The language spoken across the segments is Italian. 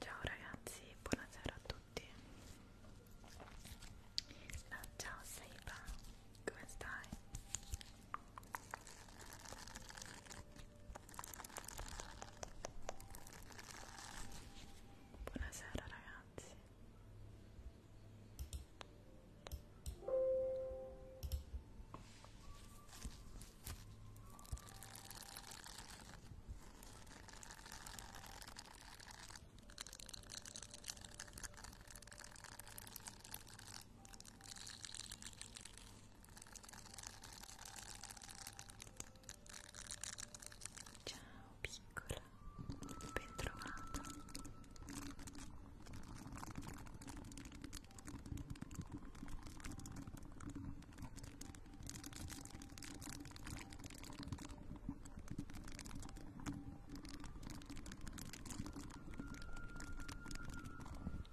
Ciao ragazzi, buonasera a tutti. No, ciao Seiba, come stai? Buonasera ragazzi. Ciao piccola, ben trovata.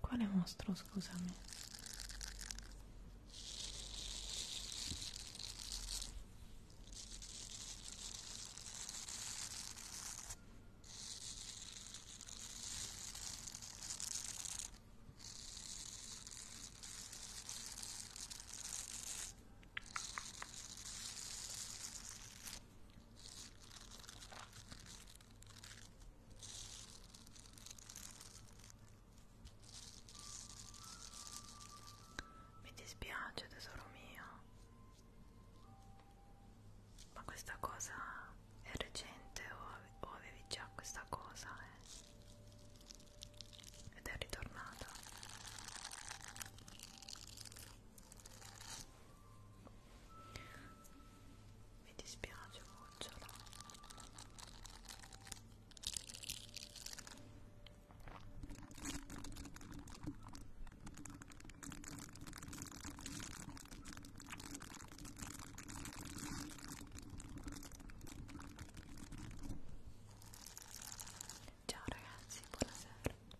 Quale mostro, scusami? Mi dispiace tesoro mio, ma questa cosa è recente o, o avevi già questa cosa eh? ed è ritornata? mi dispiace cucciola ciao ragazzi buonasera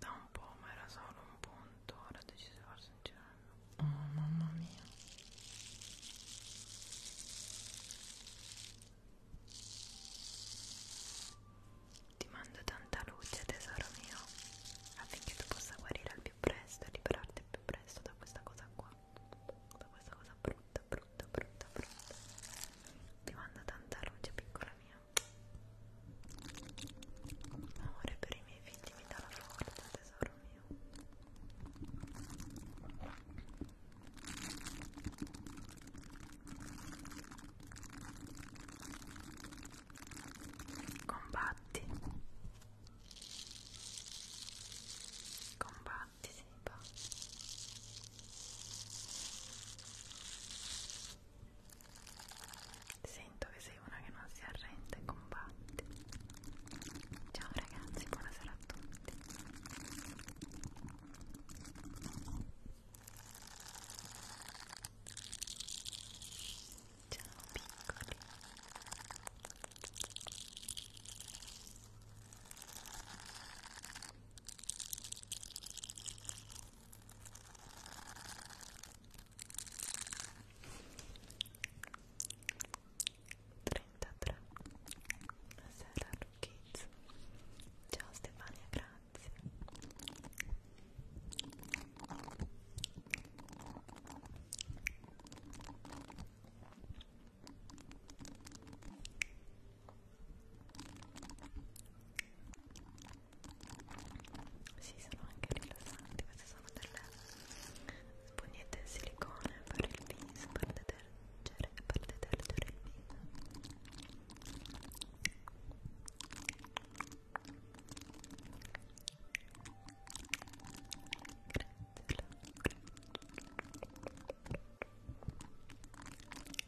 da un po' ma era solo un punto ora ho deciso di farsi un giro oh mamma mia ti mando tanta luce tesoro mio affinché tu possa guarire al più presto e liberarti al più presto da questa cosa qua da questa cosa brutta brutta brutta brutta ti mando tanta luce piccola mia Amore per i miei figli mi dà la forza, tesoro mio. Combatti. Combatti, Sipa. Sento che sei una che non si arrende e combatte. Ciao ragazzi, buonasera a tutti. Ciao piccoli. Ciao 33 Buonasera Kids Ciao Stefania, grazie Sì, sono anche rilassanti, queste sono delle spugnette in silicone per il viso, per detergere, per detergere il viso. Grazie.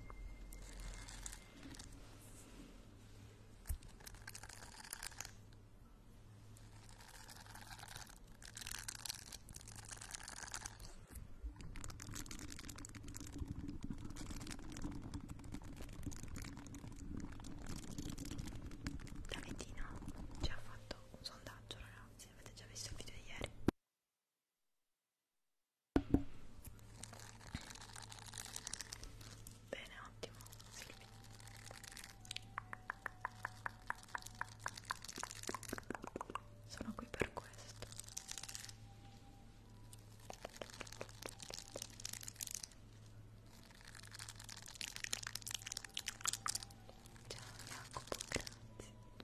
Davidina ci ha fatto un sondaggio ragazzi, avete già visto il video di ieri Bene, ottimo. Silvia. Sono qui per questo. Ciao Jacopo, grazie.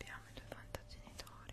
Abbiamo i tuoi fantagenitori.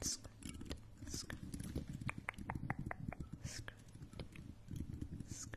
skirt, skirt, skirt, skirt, Skirt,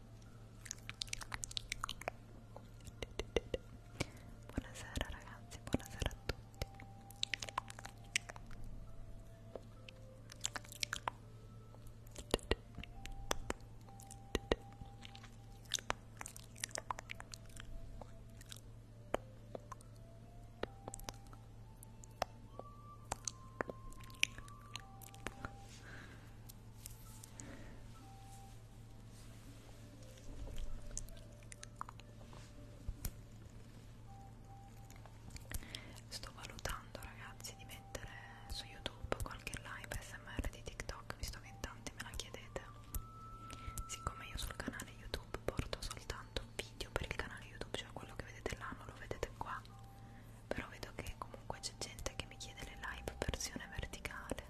Buonasera ragazzi, buonasera a tutti. Sto valutando ragazzi di mettere su YouTube qualche live SMR di TikTok visto che in tanti me la chiedete. Siccome io sul canale YouTube porto soltanto video per il canale YouTube, cioè quello che vedete là non lo vedete qua però vedo che comunque c'è gente che mi chiede le live versione verticale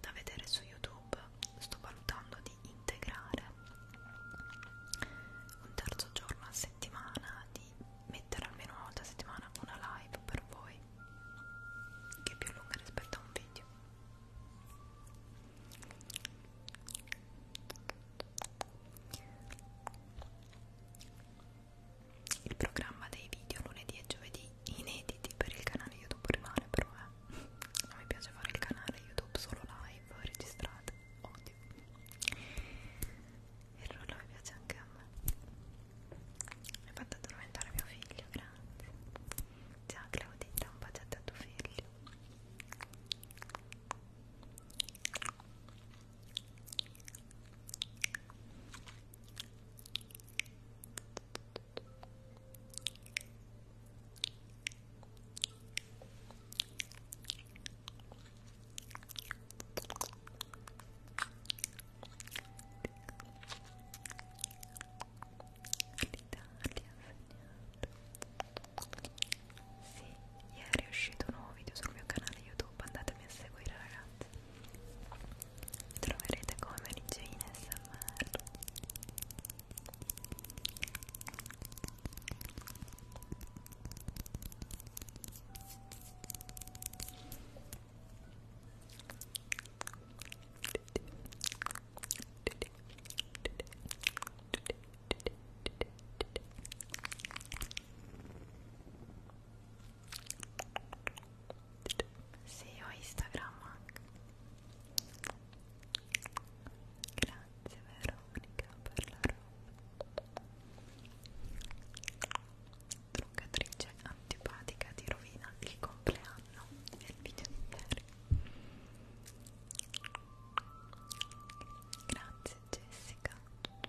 da vedere su youtube sto valutando di integrare un terzo giorno a settimana di mettere almeno una volta a settimana una live per voi che è più lunga rispetto a un video il programma dei video lunedì e giovedì inediti per il canale YouTube rimane però eh. non mi piace fare il canale YouTube solo live registrate, odio il rullo mi piace anche a me mi hai fatto addormentare mio figlio, grazie ciao Claudita, un baciato a tuo figlio sì, ieri è uscito un nuovo video sul mio canale YouTube, andatemi a seguire ragazzi troverete come Mary Jane SMR sì, ho Instagram anche. Grazie Veronica per la roba. Truccatrice antipatica ti rovina il compleanno e il video intero. Grazie Jessica.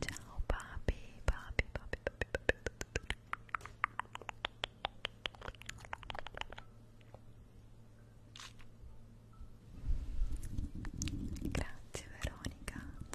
Ciao papi, papi, papi, papi, papi, papi. Grazie Veronica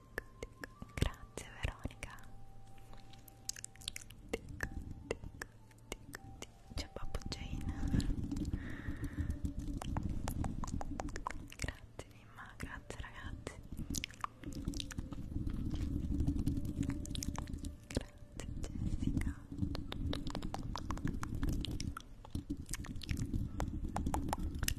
tic, tic. Grazie Veronica. Tic, tic, tic, tic. C'è Babbo Jane. grazie Mimma, grazie ragazzi. Grazie Jessica.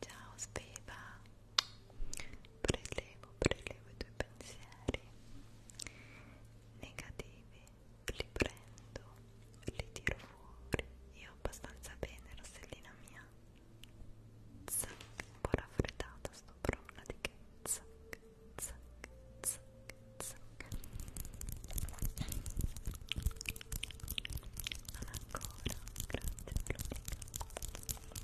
Ciao Sveva, prelevo, prelevo i tuoi pensieri negativi, li prendo, li tiro fuori. Io abbastanza bene, Rossellina mia. Zac, un po' raffreddata, sto però una di che zac, zac, zac, zac. Non ancora, grazie Veronica.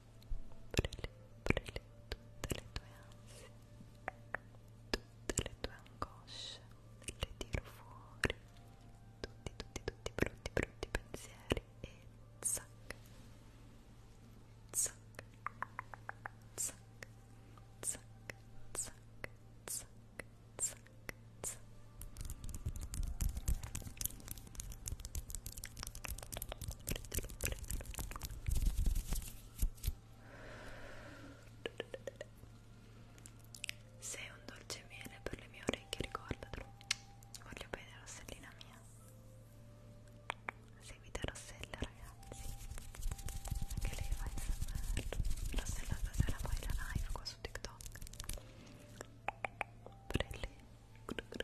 Prelè, prelè tutte le tue ansie, tutte le tue angosce, le tiro fuori, tutti, tutti, tutti brutti, brutti pensieri e zac, zac, zac, zac, zac, zac, zac, zac prendilo, prendilo. Sei un dolce miele per le mie orecchie, ricordatelo. Voglio bene Rossellina mia. Seguite Rossella ragazzi. Anche lei va in SMR. Rossella stasera poi la live qua su TikTok. Prele.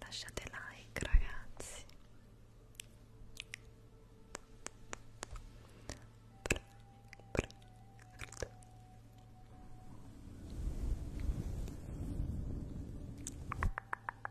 Lasciate like ragazzi. Bra, bra,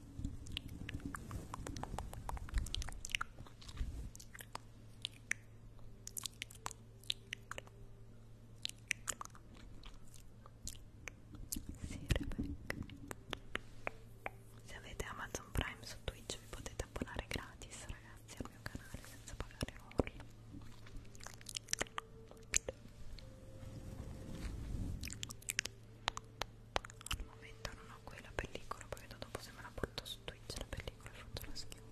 Sì, Rebecca. Se avete Amazon Prime su Twitch vi potete abbonare gratis, ragazzi, al mio canale senza pagare nulla. Ecco al momento non ho qui la pellicola poi vedo dopo se me la porto su Twitch la pellicola e faccio la schifo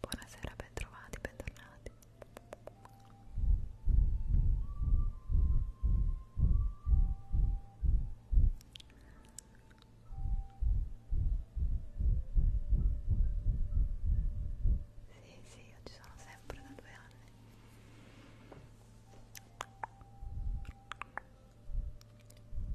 Buonasera, bentrovati, bentornati. Sì, sì, io ci sono sempre da due anni.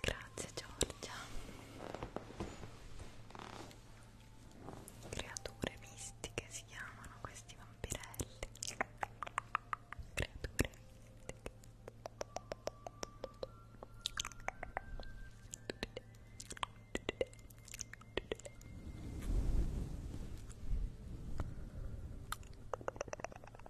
Grazie Giorgia. Creature mistiche si chiamano questi vampirelli. Creature mistiche. Grazie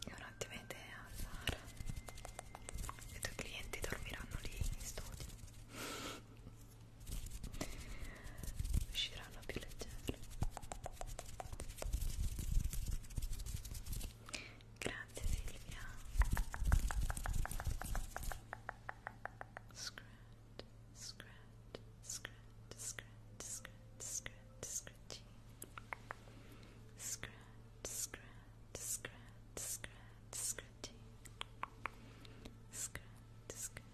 È un'ottima idea, Sara. I tuoi clienti dormiranno lì in studio usciranno più leggere grazie Silvia scratch scratch scratch scratch scratch scratch scratch scratch scratch scratch scratch scratch scratch scratch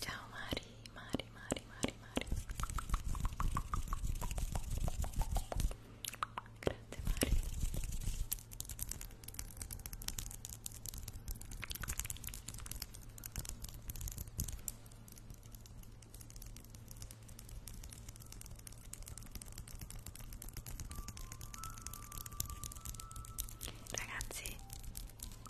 Ciao Mari, Mari, Mari, Mari, Mari. Grazie Mari. Ragazzi,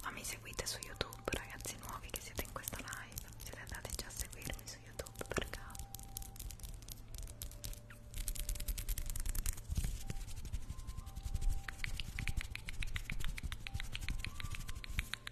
ma mi seguite su YouTube, ragazzi nuovi che siete in questa live? Siete andate già a seguirmi su YouTube per caso?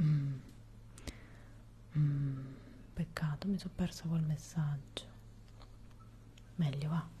Mm. Mm. Peccato, mi sono persa quel messaggio. Meglio va.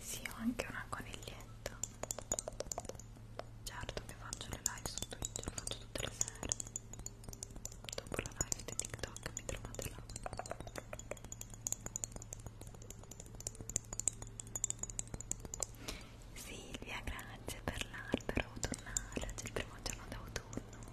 Sì, ho anche una coniglietta. Certo che faccio le live su Twitch, lo faccio tutte le sere. Dopo la live di TikTok mi trovate là. Silvia, grazie per l'albero autunnale, oggi è il primo giorno d'autunno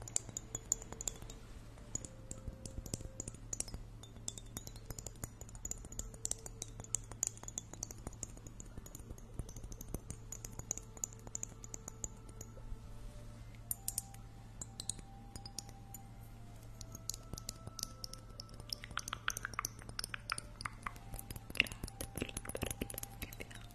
Grazie per l'albero che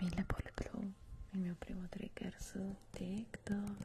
Millable Glow, il mio primo trigger su TikTok.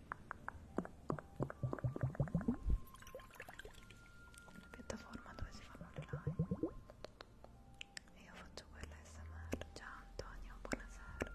una piattaforma dove si fanno le live e io faccio quella smr ciao Antonio buonasera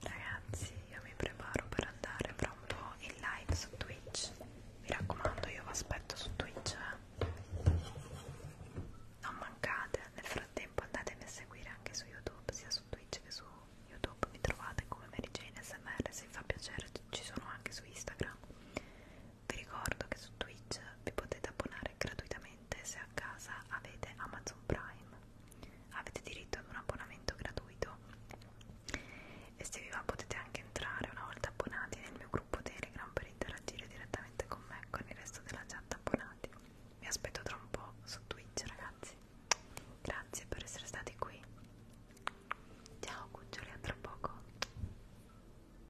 Ragazzi, io mi preparo per andare fra un po' in live su Twitch. Mi raccomando, io vi aspetto su Twitch. Eh? Non mancate. Nel frattempo andatemi a seguire anche su YouTube, sia su Twitch che su YouTube. Mi trovate come Mary Jane SMR. Se vi fa piacere, ci sono anche su Instagram vi ricordo che su Twitch vi potete abbonare gratuitamente se a casa avete Amazon Prime, avete diritto ad un abbonamento gratuito e se vi va potete anche entrare una volta abbonati nel mio gruppo Telegram per interagire direttamente con me e con il resto della chat abbonati. Vi aspetto tra un po' su Twitch ragazzi. Grazie per essere stati qui. Ciao cuccioli a tra poco.